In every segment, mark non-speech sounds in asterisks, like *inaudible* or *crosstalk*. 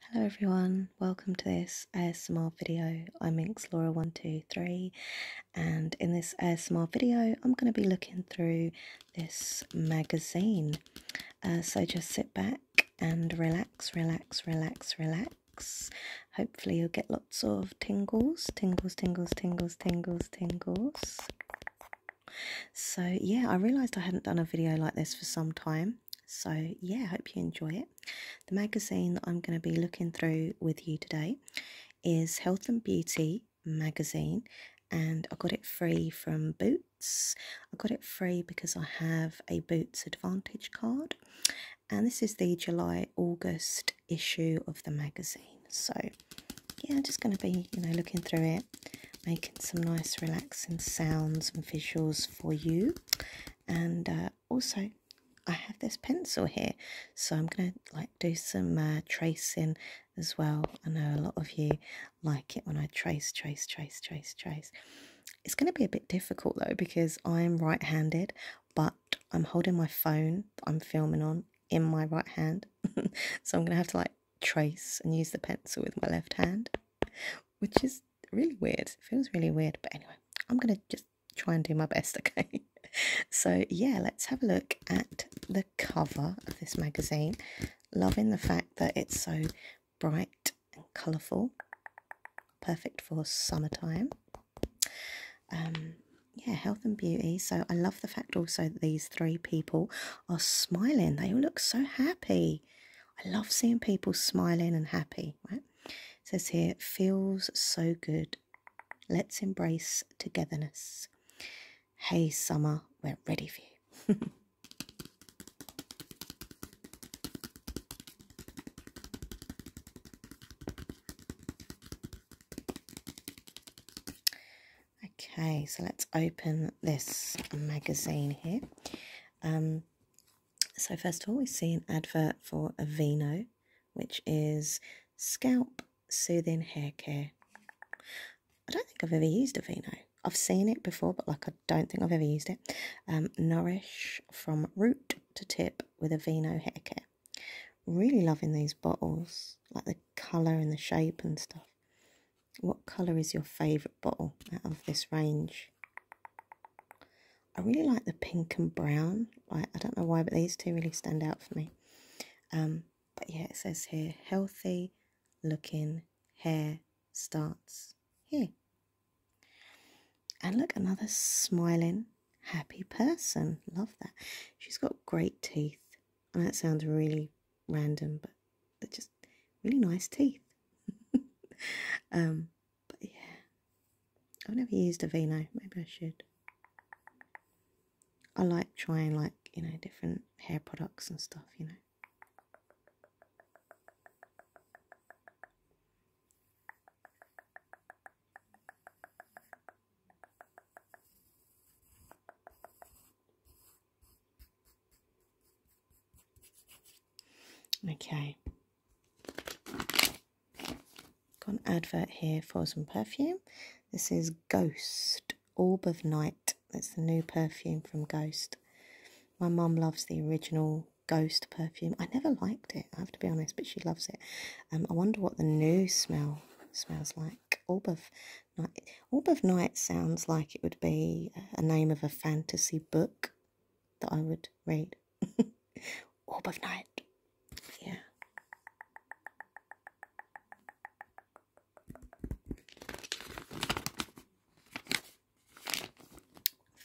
Hello everyone, welcome to this ASMR video. I'm Laura 123 and in this ASMR video I'm going to be looking through this magazine. Uh, so just sit back and relax, relax, relax, relax. Hopefully you'll get lots of tingles, tingles, tingles, tingles, tingles, tingles. So yeah, I realised I hadn't done a video like this for some time so yeah i hope you enjoy it the magazine that i'm going to be looking through with you today is health and beauty magazine and i got it free from boots i got it free because i have a boots advantage card and this is the july august issue of the magazine so yeah i'm just going to be you know looking through it making some nice relaxing sounds and visuals for you. And uh, also, I have this pencil here, so I'm gonna like do some uh, tracing as well. I know a lot of you like it when I trace, trace, trace, trace, trace. It's gonna be a bit difficult though because I'm right-handed, but I'm holding my phone that I'm filming on in my right hand, *laughs* so I'm gonna have to like trace and use the pencil with my left hand, which is really weird. feels really weird. But anyway, I'm going to just try and do my best, *laughs* okay? so, yeah, let's have a look at the cover of this magazine. Loving the fact that it's so bright and colourful. Perfect for summertime. Um, yeah, health and beauty. So I love the fact also that these three people are smiling. They all look so happy. I love seeing people smiling and happy, right? It says here, feels so good. Let's embrace togetherness. Hey, summer, we're ready for you. *laughs* okay, so let's open this magazine here. Um, so, first of all, we see an advert for Aveeno, which is scalp soothing hair care. I don't think I've ever used Aveeno. I've seen it before, but like I don't think I've ever used it. Um, nourish from root to tip with Aveeno hair care. Really loving these bottles, like the colour and the shape and stuff. What colour is your favourite bottle out of this range? I really like the pink and brown. Like, I don't know why, but these two really stand out for me. Um, but yeah, it says here, healthy looking hair starts here. And look, another smiling, happy person. Love that. She's got great teeth. I know it sounds really random, but they're just really nice teeth. *laughs* um, but yeah. I've never used a vino. Maybe I should. I like trying like, you know, different hair products and stuff, you know. Okay. Got an advert here for some perfume. This is Ghost Orb of Night. That's the new perfume from Ghost. My mum loves the original Ghost perfume. I never liked it, I have to be honest, but she loves it. Um, I wonder what the new smell smells like. Orb of Night. Orb of Night sounds like it would be a name of a fantasy book that I would read. *laughs* Orb of Night. Yeah.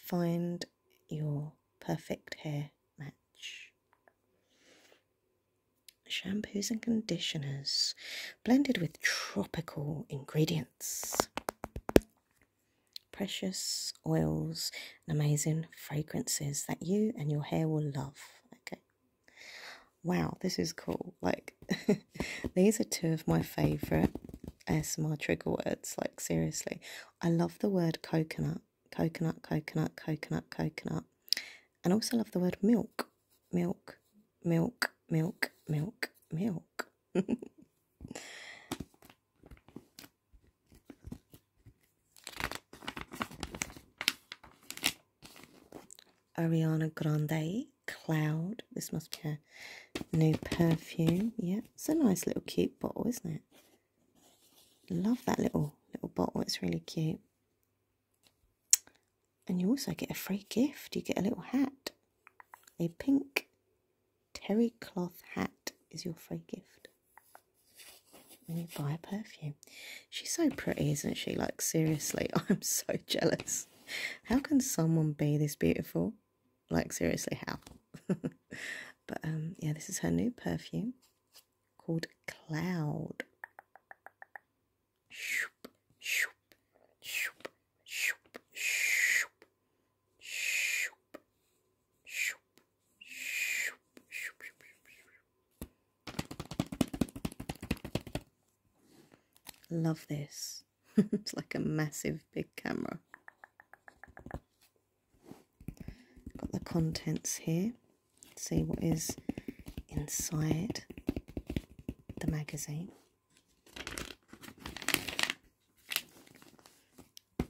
Find your perfect hair match. Shampoos and conditioners blended with tropical ingredients precious oils and amazing fragrances that you and your hair will love. Okay. Wow, this is cool. Like, *laughs* these are two of my favorite ASMR trigger words. Like, seriously, I love the word coconut, coconut, coconut, coconut, coconut, and also love the word milk, milk, milk, milk, milk, milk. *laughs* Ariana Grande Cloud. This must be a new perfume. Yeah, it's a nice little cute bottle, isn't it? Love that little little bottle. It's really cute. And you also get a free gift. You get a little hat, a pink terry cloth hat is your free gift when you buy a perfume. She's so pretty, isn't she? Like, seriously, *laughs* I'm so jealous. How can someone be this beautiful? Like, seriously, how? *laughs* but, um, yeah, this is her new perfume called Cloud shoop, shoop, shoop, shoop, shoop, shoop, shoop, shoop. Love this. *laughs* it's like a massive big camera. Got the contents here. see what is inside the magazine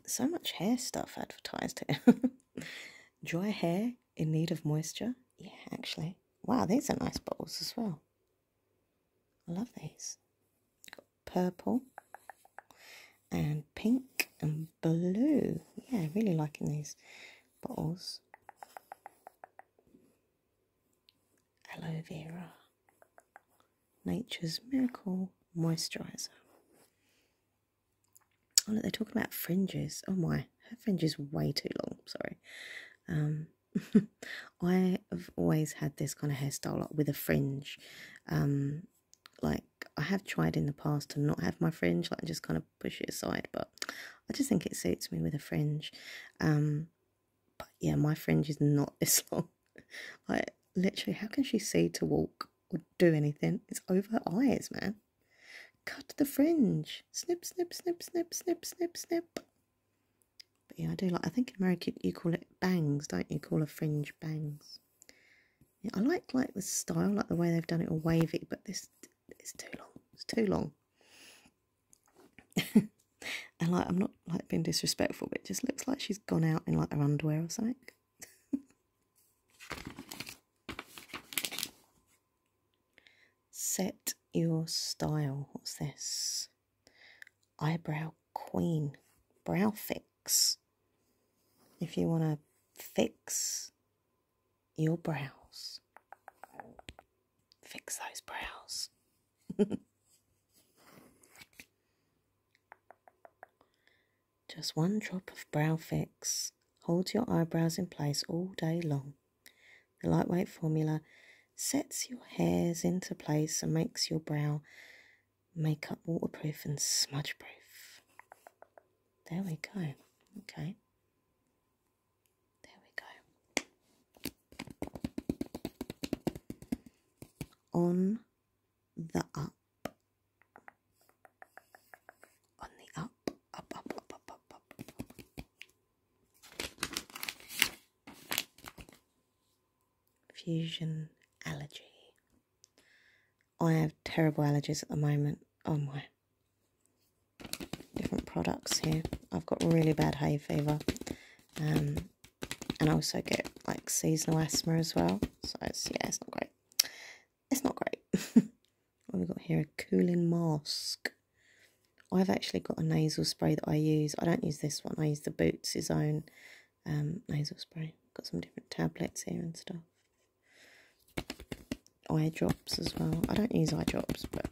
so much hair stuff advertised here. *laughs* Dry hair in need of moisture. Yeah, actually. Wow, these are nice bottles as well. I love these. Got purple and pink and blue. Yeah, really liking these bottles. Aloe vera. Nature's Miracle Moisturizer. Oh look, they're talking about fringes. Oh my, her fringe is way too long. Sorry. Um, *laughs* I have always had this kind of hairstyle like, with a fringe. Um, like I have tried in the past to not have my fringe, like just kind of push it aside, but I just think it suits me with a fringe. Um, but yeah, my fringe is not *laughs* this long. *laughs* Like, literally, how can she see to walk or do anything? It's over her eyes, man. Cut the fringe. Snip, snip, snip, snip, snip, snip, snip. But yeah, I do like, I think in America you call it bangs, don't you? call a fringe bangs. Yeah, I like like the style, like the way they've done it all wavy, but this is too long. It's too long. *laughs* and like I'm not like being disrespectful, but it just looks like she's gone out in like her underwear or something. *laughs* Set your style. What's this? Eyebrow queen. Brow fix. If you want to fix your brows, fix those brows. *laughs* Just one drop of Brow Fix holds your eyebrows in place all day long. The lightweight formula sets your hairs into place and makes your brow makeup waterproof and smudge proof. There we go. Okay. There we go. On the up. On the up, up, up, up, up, up, Fusion allergy. I have terrible allergies at the moment. Oh my. Different products here. I've got really bad hay fever. Um, and also get like seasonal asthma as well. So it's, yeah, it's not great. It's not great. *laughs* what have we got here? A cooling mask. I've actually got a nasal spray that I use. I don't use this one. I use the Boots' own um, nasal spray. Got some different tablets here and stuff. Eye drops as well. I don't use eye drops, but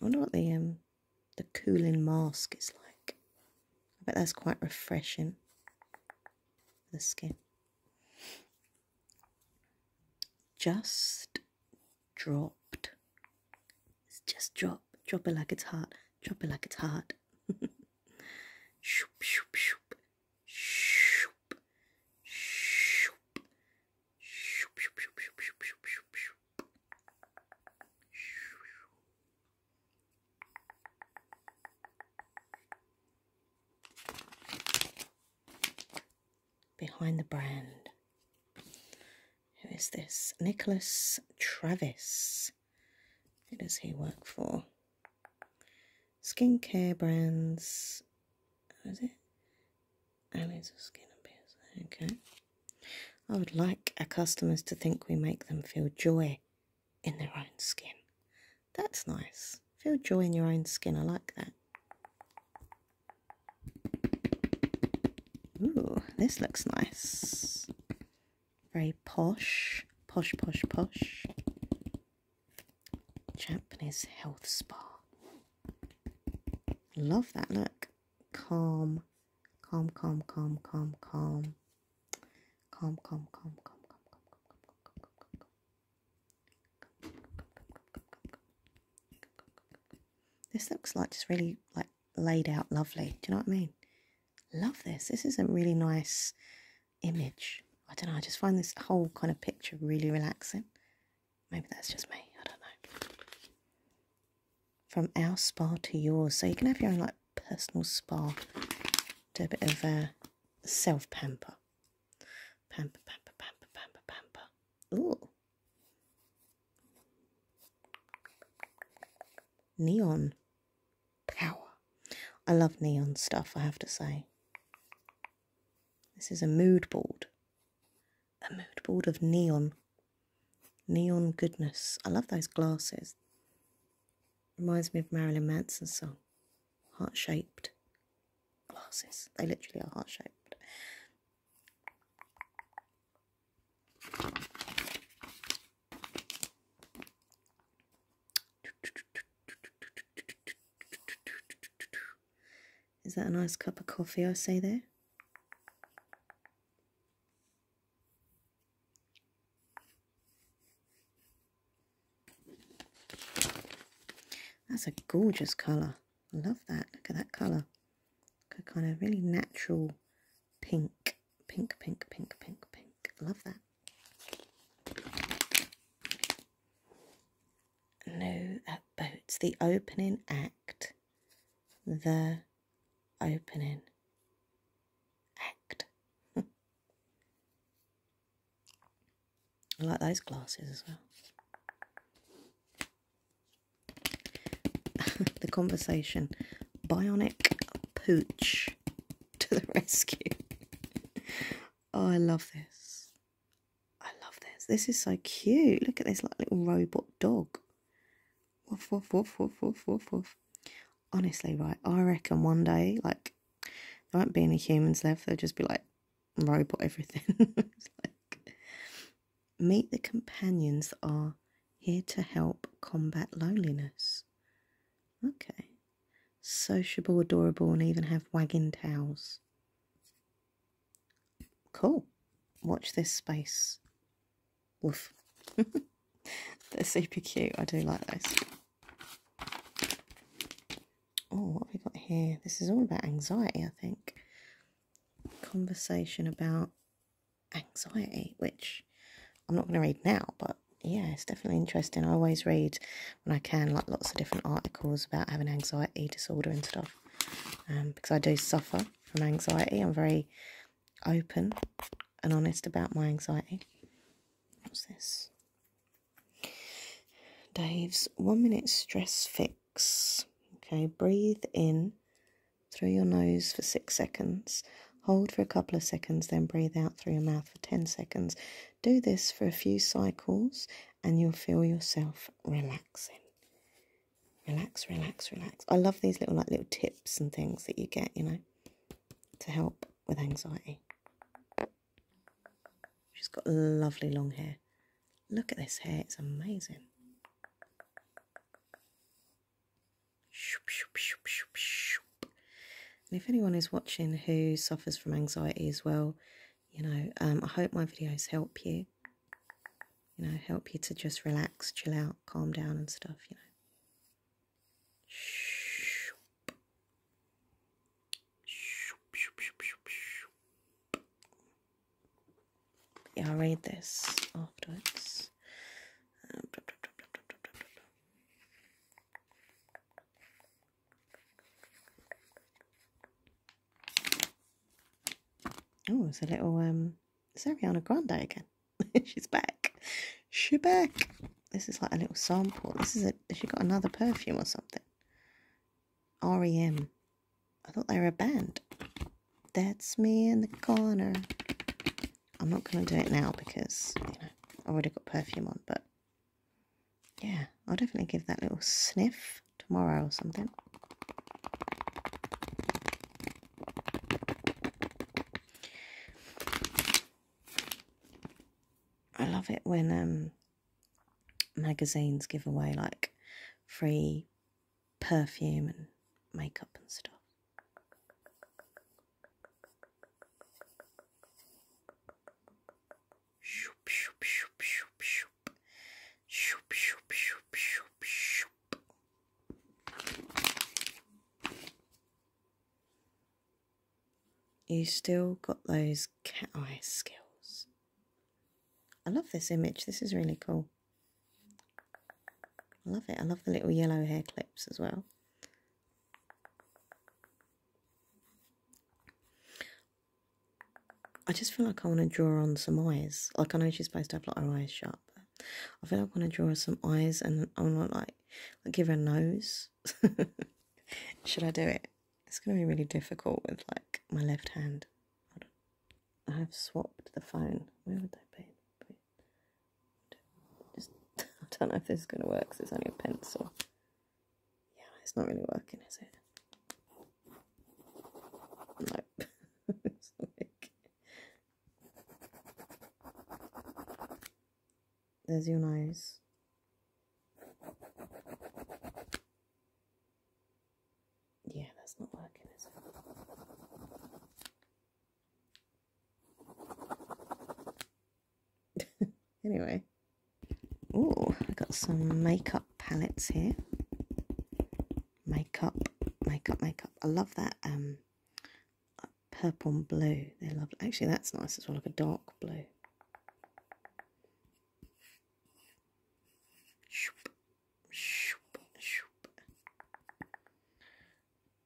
wonder what the um the cooling mask is like. I bet that's quite refreshing for the skin. Just dropped. It's just drop. Drop it like it's hot. Drop it like it's hot. shoop, shoop, shoop. Shoop. Shoop. Shoop, shoop, shoop, shoop, shoop, shoop, shoop. Behind the brand. Who is this? Nicholas Travis. Who does he work for? Skincare brands. What is it? Aliens of skin and Okay. I would like our customers to think we make them feel joy in their own skin. That's nice. Feel joy in your own skin. I like that. Ooh, this looks nice. Very posh, posh, posh, posh. Japanese health spa. Love that look. Calm, calm, calm, calm, calm, calm. Calm, calm, calm, calm, calm, calm, calm, calm, calm, calm, calm, calm. This looks like just really like laid out lovely. Do you know what I mean? Love this. This is a really nice image. I don't know. I just find this whole kind of picture really relaxing. Maybe that's just me. I don't know. From our spa to yours. So you can have your own like personal spa, do a bit of a self pamper. Pamper, pamper, pamper, pamper, pamper. Ooh. Neon power. I love neon stuff, I have to say. This is a mood board. A mood board of neon. Neon goodness. I love those glasses. Reminds me of Marilyn Manson's song, Heart Shaped Glasses. They literally are heart shaped. Is that a nice cup of coffee I see there? That's a gorgeous colour. I love that. Look at that colour. A kind of really natural pink. Pink, pink, pink, pink, pink. love that. No at boats. The opening act. The opening act. *laughs* I like those glasses as well. *laughs* the conversation bionic pooch to the *laughs* rescue. oh, I love this. I love this. This is so cute. Look at this like little robot dog. Woof, woof, woof, woof, woof, woof, woof. Honestly, right, I reckon one day, like, there won't be any humans left, they'll just be like robot everything. *laughs* like, meet the companions are here to help combat loneliness. Okay. Sociable, adorable, and even have wagging tails. Cool. Watch this space. Woof. *laughs* They're super cute. I do like those. Oh, what we got here? This is all about anxiety, I think. Conversation about anxiety, which I'm not going to read now, but yeah, it's definitely interesting. I always read when I can, like lots of different articles about having anxiety disorder and stuff, um, because I do suffer from anxiety. I'm very open and honest about my anxiety. What's this? Dave's one minute stress fix. Okay, breathe in through your nose for six seconds, hold for a couple of seconds, then breathe out through your mouth for 10 seconds. Do this for a few cycles and you'll feel yourself relaxing. Relax, relax, relax. I love these little like little tips and things that you get, you know, to help with anxiety. She's got lovely long hair. Look at this hair, it's amazing. And if anyone is watching who suffers from anxiety as well, you know, um, I hope my videos help you. You know, help you to just relax, chill out, calm down and stuff, you know. Yeah, I'll read this afterwards. Oh, it's a little um it's Ariana Grande again. *laughs* She's back. She's back. This is like a little sample. This is a, she got another perfume or something. REM. I thought they were a band. That's me in the corner. I'm not going to do it now because, you know, I've already got perfume on, but yeah, I'll definitely give that little sniff tomorrow or something. I love it when um, magazines give away like free perfume and makeup and stuff. You still got those cat eye skills. I love this image. This is really cool. I love it. I love the little yellow hair clips as well. I just feel like I want to draw on some eyes. Like I know she's supposed to have like her eyes shut, but I feel like I want to draw some eyes and I want to like, like give her a nose *laughs* Should I do it? It's going to be really difficult with like my left hand. I have swapped the phone. Where would I be? Just, *laughs* I don't know if this is going to work because it's only a pencil. Yeah, it's not really working, is it? Nope. *laughs* There's your nose. Yeah, that's not working, is it? *laughs* anyway. Oh, I got some makeup palettes here. Makeup, makeup, makeup. I love that um purple and blue. They're lovely. Actually, that's nice as well, like a dark blue.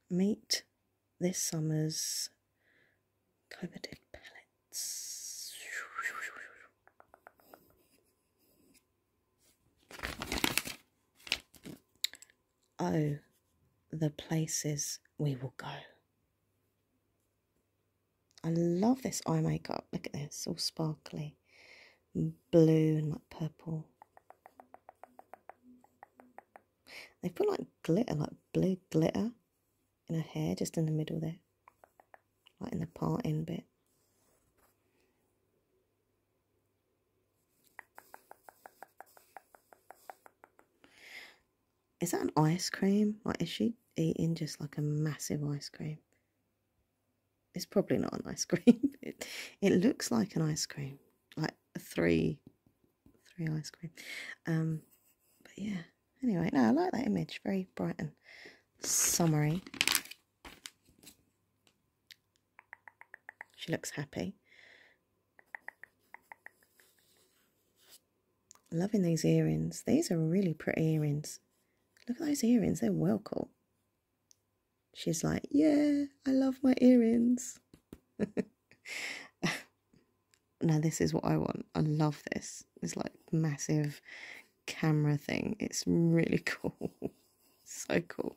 Meet this summer's coveted pellets. Oh, the places we will go. I love this eye makeup. Look at this, all sparkly. Blue and like purple. They put like glitter, like blue glitter in her hair, just in the middle there. Like in the parting bit. Is that an ice cream? Like, is she eating just like a massive ice cream? It's probably not an ice *laughs* cream. It, it looks like an ice cream, like three, three ice cream. Um, but yeah. Anyway, no, I like that image. Very bright and summery. She looks happy. Loving these earrings. These are really pretty earrings. Look at those earrings, they're well cool. She's like, Yeah, I love my earrings. *laughs* now, this is what I want. I love this. It's like massive camera thing. It's really *laughs* cool. so cool.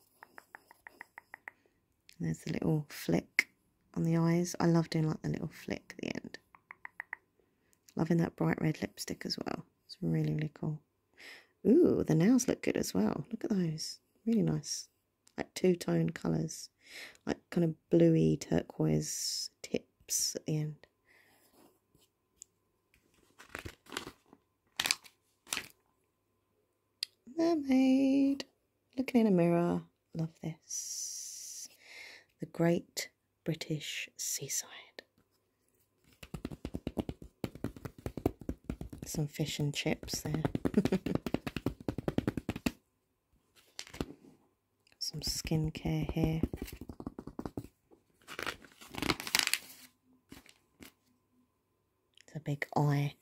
there's the little flick on the eyes. I love doing like the little flick at the end. Loving that bright red lipstick as well. It's really, really cool. Ooh, the nails look good as well. Look at those. Really nice. Like two-tone colours. Like kind of bluey turquoise tips at the end. Mermaid. Looking in a mirror love this. The Great British Seaside. Some fish and chips there. *laughs* Some skincare here. It's a big eye.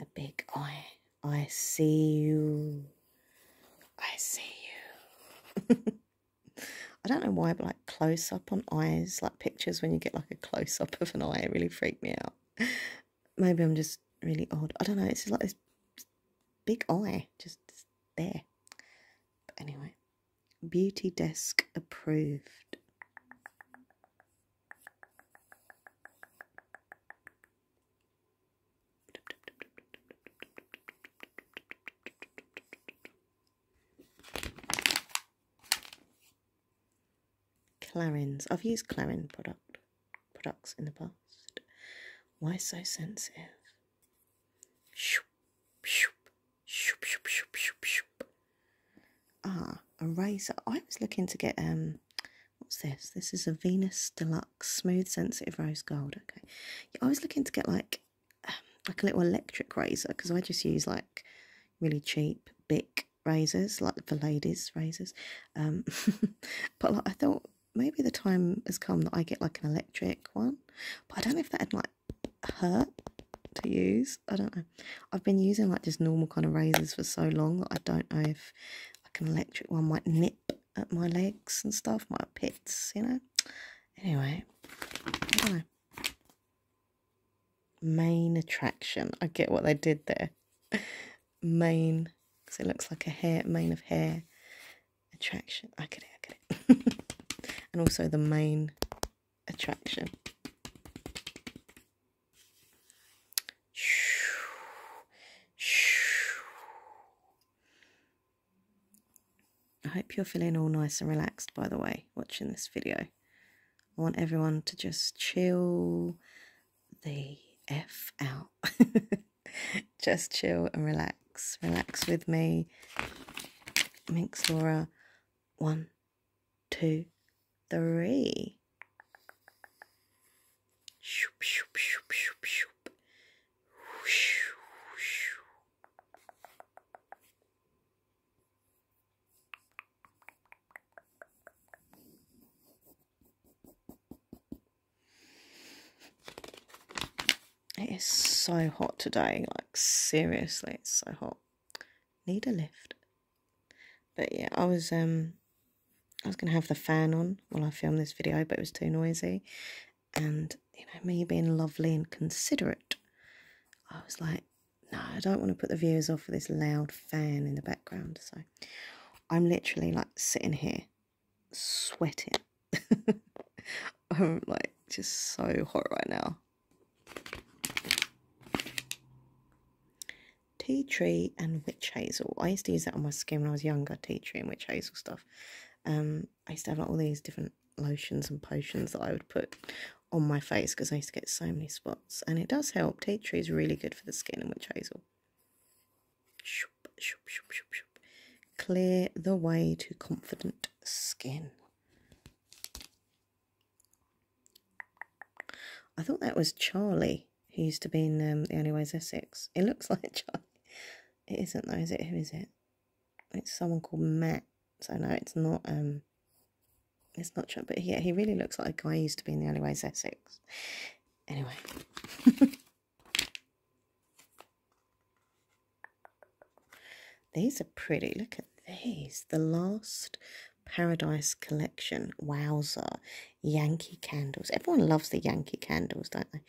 A big eye. I see you. I see you. *laughs* I don't know why, but like close up on eyes, like pictures when you get like a close up of an eye, it really freaks me out. Maybe I'm just really odd. I don't know. It's like this big eye just there. But anyway, beauty desk approved. Clarins. I've used Clarin product products in the past. Why so sensitive? Ah, a razor. I was looking to get um what's this? This is a Venus Deluxe Smooth Sensitive Rose Gold. Okay. I was looking to get like like a little electric razor because I just use like really cheap Bic razors, like for ladies razors. Um, *laughs* but like, I thought maybe the time has come that I get like an electric one, but I don't know if that'd like hurt to use. I don't know. I've been using like just normal kind of razors for so long that I don't know if like an electric one might nip at my legs and stuff, my pets, you know. Anyway, Main attraction. I get what they did there. main, because it looks like a hair, main of hair. Attraction. I get it, I get it. *laughs* and also the main attraction. I hope you're feeling all nice and relaxed, by the way, watching this video. I want everyone to just chill the F out. *laughs* just chill and relax. Relax with me. Minx Laura. One, two, three. It is so hot today, like seriously, it's so hot. Need a lift. But yeah, I was um I was gonna have the fan on while I filmed this video, but it was too noisy and you know me being lovely and considerate i was like no i don't want to put the viewers off with this loud fan in the background so i'm literally like sitting here sweating *laughs* i'm like just so hot right now tea tree and witch hazel i used to use that on my skin when i was younger tea tree and witch hazel stuff um I used to have all these different lotions and potions that I would put on my face because I used to get so many spots, and it does help. Tea tree is really good for the skin and witch hazel. Shoop, shoop, shoop, shoop, shoop. Clear the way to confident skin. I thought that was Charlie, who used to be in um, The Only Way's Essex. It looks *laughs* like Charlie. It isn't though, is it? Who is it? it's someone called Matt. So no, it's not um it's not true. But yeah, he really looks like a guy used to be in the alleyways Essex. Anyway. *laughs* these are pretty. Look at these. The last Paradise Collection. Wowzer. Yankee candles. Everyone loves the Yankee candles, don't they?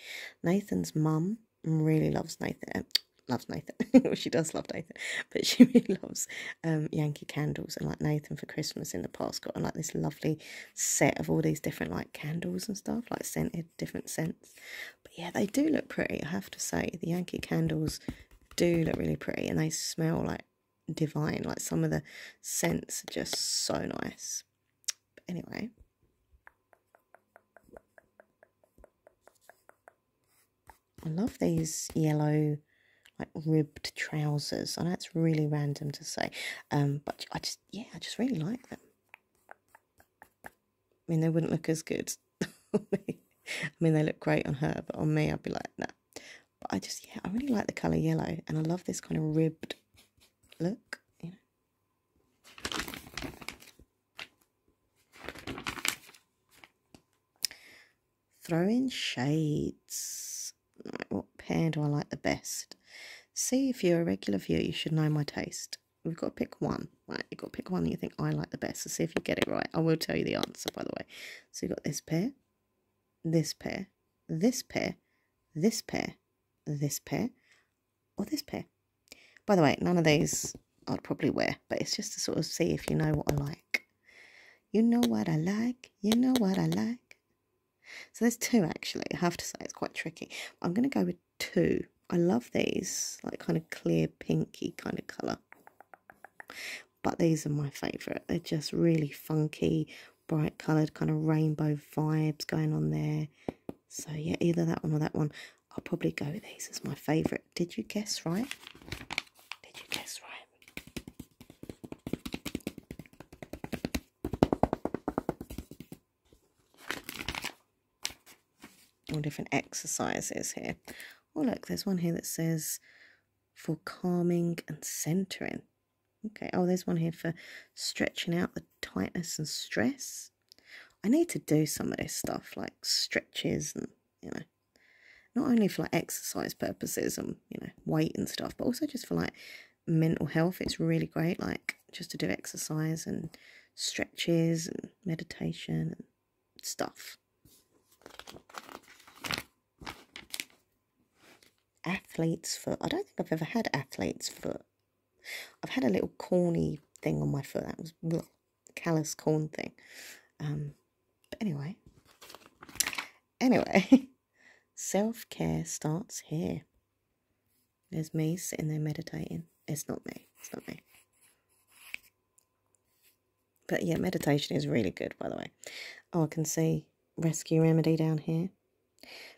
Nathan's mum really loves Nathan. Um, loves Nathan. *laughs* she does love Nathan, but she *laughs* really loves um, Yankee candles. And like Nathan for Christmas in the past got like this lovely set of all these different like candles and stuff, like scented different scents. But yeah, they do look pretty. I have to say, the Yankee candles do look really pretty, and they smell like divine. Like some of the scents are just so nice. But anyway, I love these yellow, like ribbed trousers. I know it's really random to say, um, but I just, yeah, I just really like them. I mean, they wouldn't look as good. *laughs* I mean, they look great on her, but on me, I'd be like, no. But I just, yeah, I really like the colour yellow, and I love this kind of ribbed look, you know. Throw in shades. what pair do I like the best? See, if you're a regular viewer, you should know my taste. We've got to pick one. Right, you've got to pick one that you think I like the best. let see if you get it right. I will tell you the answer, by the way. So you've got this pair, this pair, this pair, this pair, this pair, or this pair. By the way, none of these I'd probably wear, but it's just to sort of see if you know what I like. You know what I like, you know what I like. So there's two actually, I have to say, it's quite tricky. I'm going to go with two. I love these, like kind of clear pinky kind of colour. But these are my favourite. They're just really funky, bright coloured, kind of rainbow vibes going on there. So yeah, either that one or that one. I'll probably go with these as my favourite. Did you guess right? Did you guess right? All different exercises here. Oh, look, there's one here that says for calming and centering. Okay, oh, there's one here for stretching out the tightness and stress. I need to do some of this stuff like stretches and you know not only for like exercise purposes and you know weight and stuff but also just for like mental health it's really great like just to do exercise and stretches and meditation and stuff athlete's foot i don't think i've ever had athlete's foot I've had a little corny thing on my foot. That was bleh, callous corn thing. Um, but anyway, anyway, *laughs* self care starts here. There's me sitting there meditating. It's not me. It's not me. But yeah, meditation is really good, by the way. Oh, I can see Rescue Remedy down here.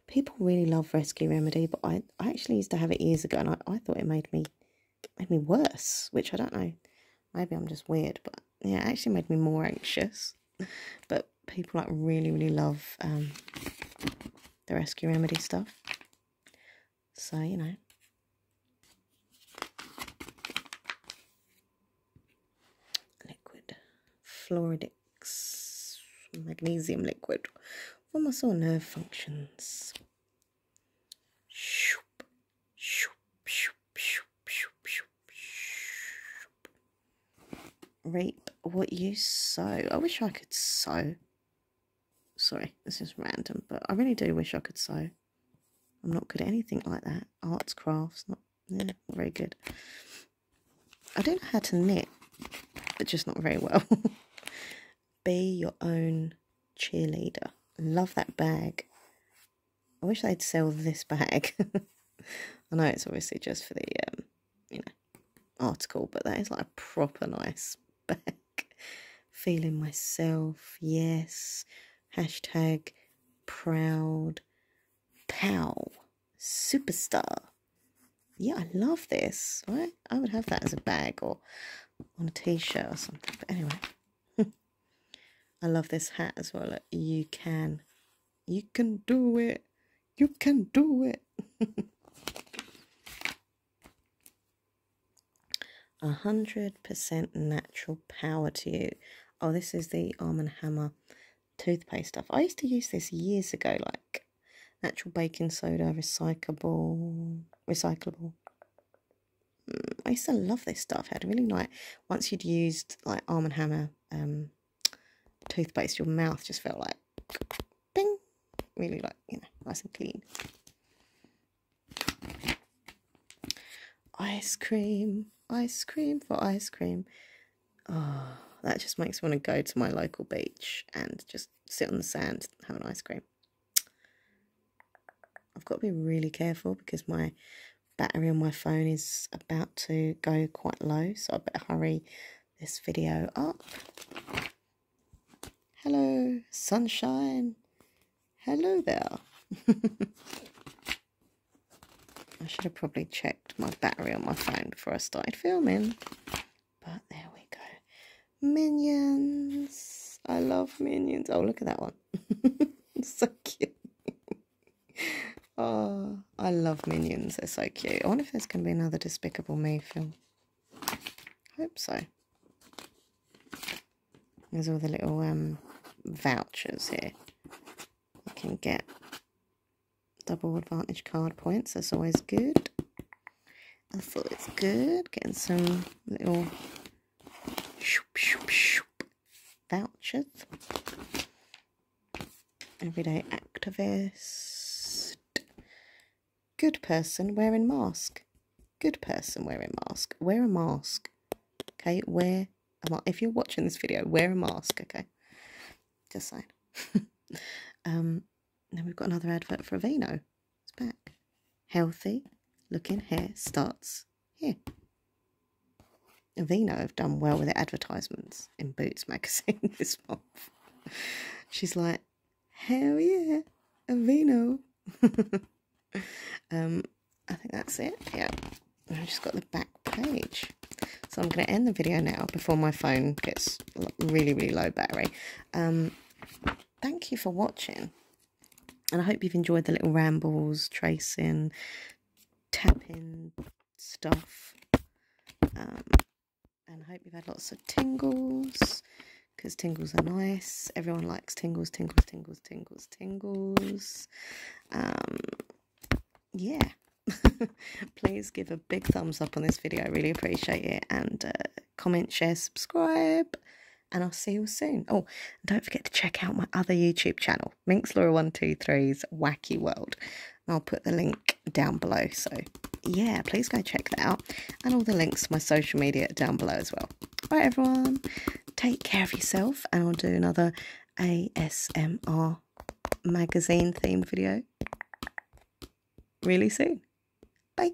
People really love Rescue Remedy, but I, I actually used to have it years ago and I, I thought it made me made me worse, which I don't know. Maybe I'm just weird, but yeah, actually made me more anxious. But people like really, really love um, the rescue remedy stuff. So, you know. Liquid. Floridix. Magnesium liquid. For muscle nerve functions. Shoop, shoop, shoop, shoop, shoop, shoop, shoop. Reap what you sow. I wish I could sow. Sorry, this is random, but I really do wish I could sew. I'm not good at anything like that. Arts, crafts, not very good. I don't know how to knit, but just not very well. *laughs* be your own cheerleader. Love that bag. I wish they'd sell this bag. *laughs* I know it's obviously just for the um, you know article, but that is like a proper nice *laughs* bag. Feeling myself, yes. Hashtag proud pow superstar. Yeah, I love this, What? I, would have that as a bag or on a t-shirt or something. But anyway, *laughs* I love this hat as well. you can, you can do it. You can do it. *laughs* A hundred percent natural power to you. Oh, this is the Arm and Hammer toothpaste stuff. I used to use this years ago, like natural baking soda, recyclable, recyclable, Mm, I used to love this stuff. It had really like once you'd used like Arm and Hammer um, toothpaste, your mouth just felt like bing, really like you know nice and clean. Ice cream, ice cream for ice cream. Oh, that just makes me want to go to my local beach and just sit on the sand and have an ice cream. I've got to be really careful because my battery on my phone is about to go quite low, so I better hurry this video up. Hello, sunshine. Hello there. *laughs* I should have probably checked my battery on my phone before I started filming. But there we go. Minions. I love minions. Oh, look at that one. *laughs* so cute. *laughs* oh, I love minions. They're so cute. I wonder if there's going to be another Despicable Me film. Hope so. There's all the little um, vouchers here. You can get double advantage card points. That's always good. I feel it's good. Getting some little vouchers. Everyday activist. Good person wearing mask. Good person wearing mask. Wear a mask. Okay, wear a mask. If you're watching this video, wear a mask, okay? Just saying. *laughs* um, then we've got another advert for Aveeno. It's back. Healthy looking hair starts here. Avena have done well with their advertisements in Boots magazine *laughs* this month. She's like, hell yeah, Avino. *laughs* um, I think that's it. Yeah, I've just got the back page. So I'm going to end the video now before my phone gets really, really low battery. Um, thank you for watching. And I hope you've enjoyed the little rambles, tracing, tapping stuff. Um, and I hope you've had lots of tingles because tingles are nice. Everyone likes tingles, tingles, tingles, tingles, tingles. Um, yeah. *laughs* Please give a big thumbs up on this video. I really appreciate it. And uh, comment, share, subscribe and I'll see you soon. Oh, don't forget to check out my other YouTube channel, Minx Laura 123's Wacky World. I'll put the link down below. So, yeah, please go check that out. And all the links to my social media down below as well. All right, everyone, take care of yourself, and I'll do another ASMR magazine theme video really soon. Bye.